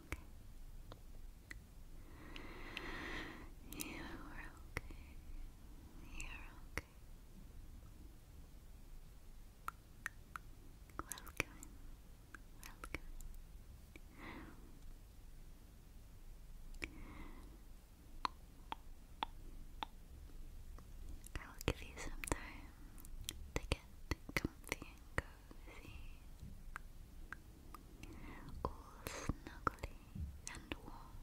okay. You are okay. You're okay. Welcome. Welcome. I will give you some time to get comfy and cozy cozy, all snuggly and warm.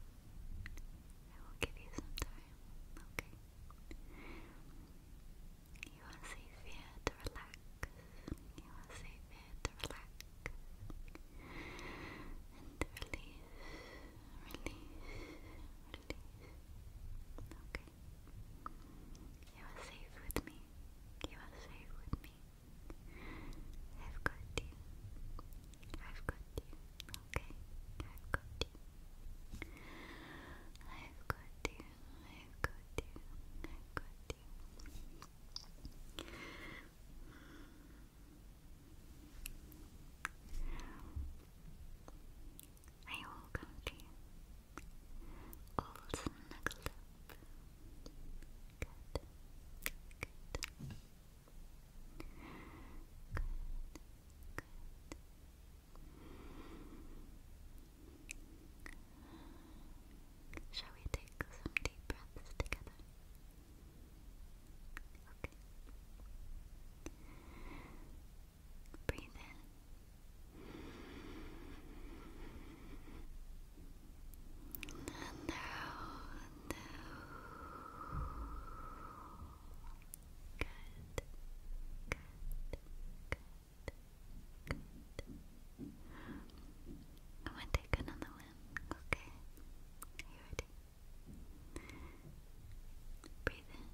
I will give you some time, okay? You are safe here to relax. You are safe here to relax. And release, release, release. Okay. You are safe with me. You are safe with me. I've got you. I've got you. Okay. I've got you. I've got you. I've got you. you. I you. All snuggled up. Good. Good. Good. Good. Shall we take some deep breaths together? Breathe in. out. Good. Good. Good. Good. I want to take another one. Okay. you ready? Breathe in.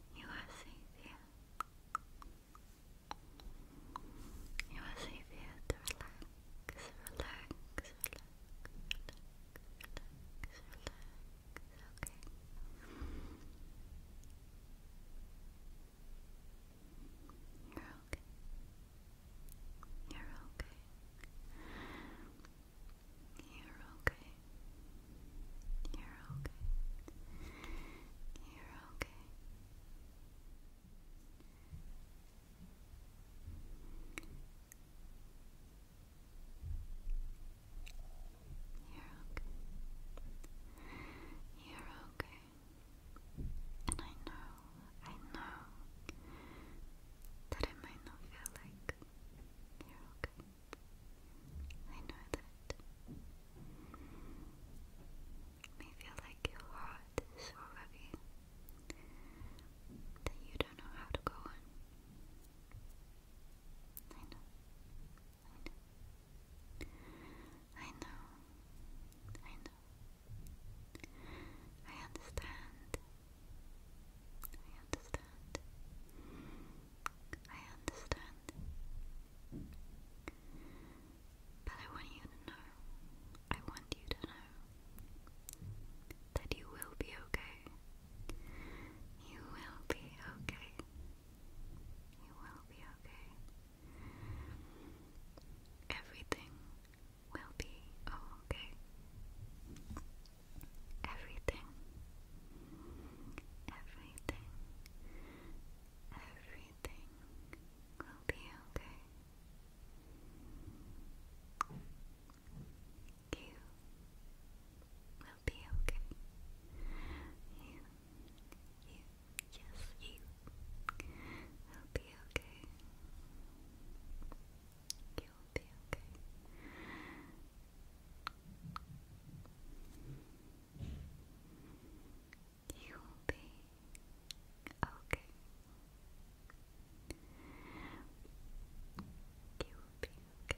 You are safe here. You are safe here to relax, relax, relax, relax, relax, relax, okay? You're okay. You're okay. You're okay. You're okay. You're okay. You're okay. You're okay. And I know, I know that it might not feel like you're okay. I know that it may feel like your heart is so heavy that you don't know how to go on. I know. I know. I understand. I understand. I understand. But I want you to know, I want you to know that you will be okay. You will be okay. You will be okay. Everything will be okay everything, everything, everything will be okay. You will be okay. You, you, yes, you will be okay guilty, You'll be okay. You'll be okay. You'll be okay.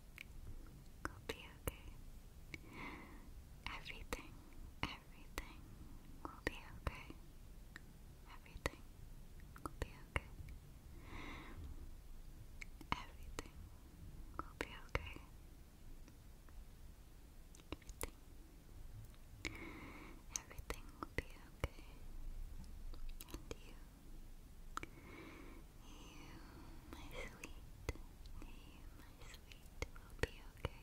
It'll be okay. Everything, everything will be okay. Everything will be okay. Everything will be okay. Everything. Everything will be okay. And you my sweet, you, my sweet, will be okay.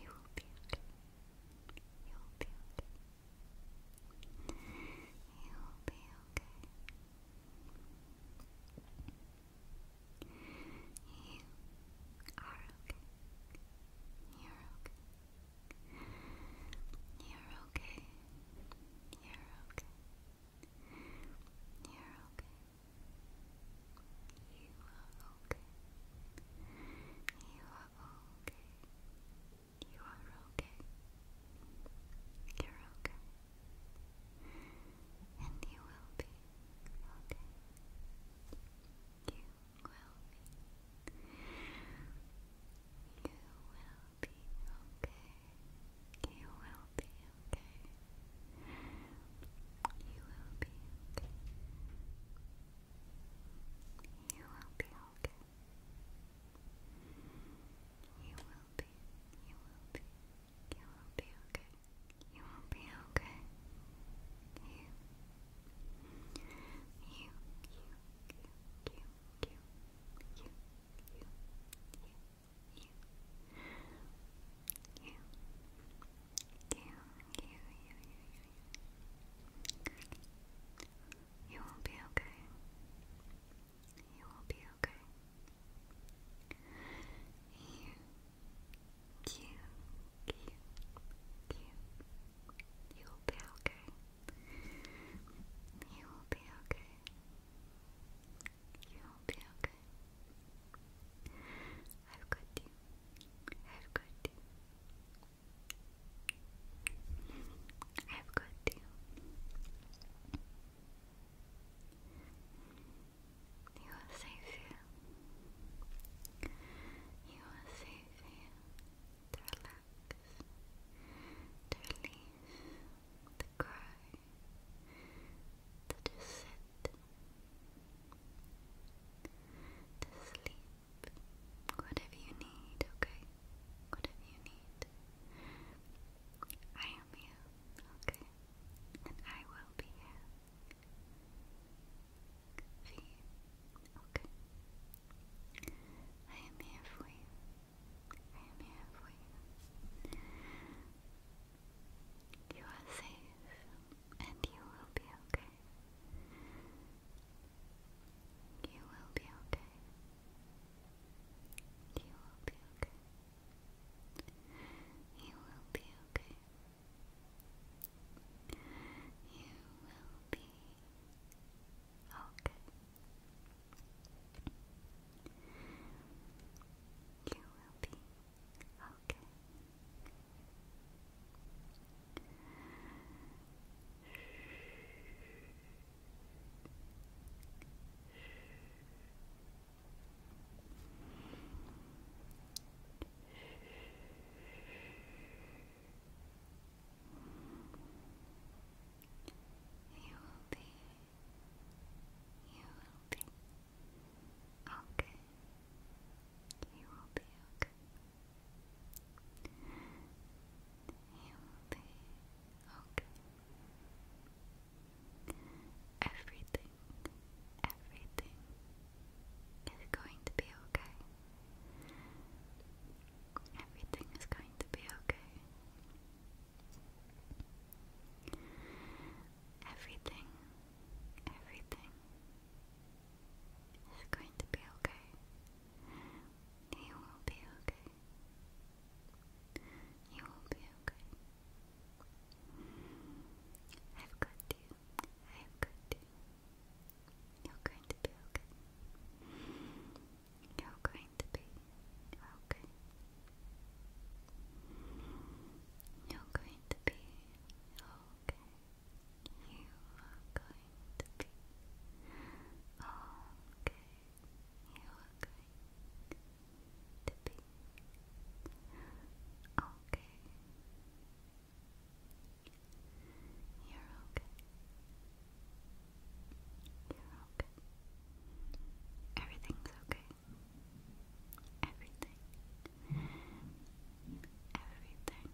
You will be okay. You will be okay. You will be okay. You're okay. You're okay. You're okay. You're okay you're okay. You are okay. You are okay. You are okay. You're okay. And you will be okay. You will be. You will be okay. You will be okay. You will be You will be okay. You will be, you will be, you will be okay. You will be okay. you, you, you, you, you, you, you, you, you, you, you, you, you, you, you, you, you, you, you, you will be okay. You will be okay. You, you, you, you, you will be okay. You will be okay. You will be okay. have got you. have got you. have got you. You are safe here. You are safe here to relax, to release, to cry, to just sit, to sleep, whatever you need, okay? Whatever you need. I am here, okay? And I will be here for you, okay? I am here for you. I am here for you. You are safe and you will be okay. You will be okay. You will be okay. You will be okay. You will be Okay. You will be okay. Good. You will be. You will be okay. You will be okay. You will be okay. Everything, everything is going to be okay. Everything is going to be okay. Everything, everything is going to be okay. You will be okay. You will be okay. I've got you. I've got you. You're going to be okay. You're going to be okay. You're going to be okay. You are going to be okay. You are going to be okay. You are going to be okay. You are going to be okay. You're okay. You're okay. Everything's okay. Everything. Everything is okay. Everything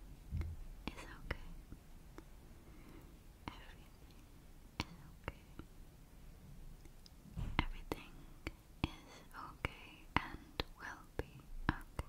is okay. Everything is okay and will be okay.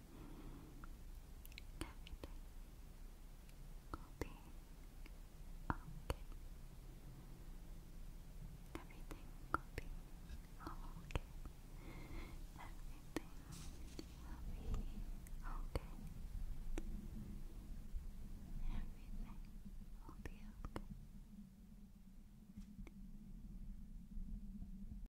Copying. Okay. Everything copying. Okay. Everything will be okay. Everything will be okay.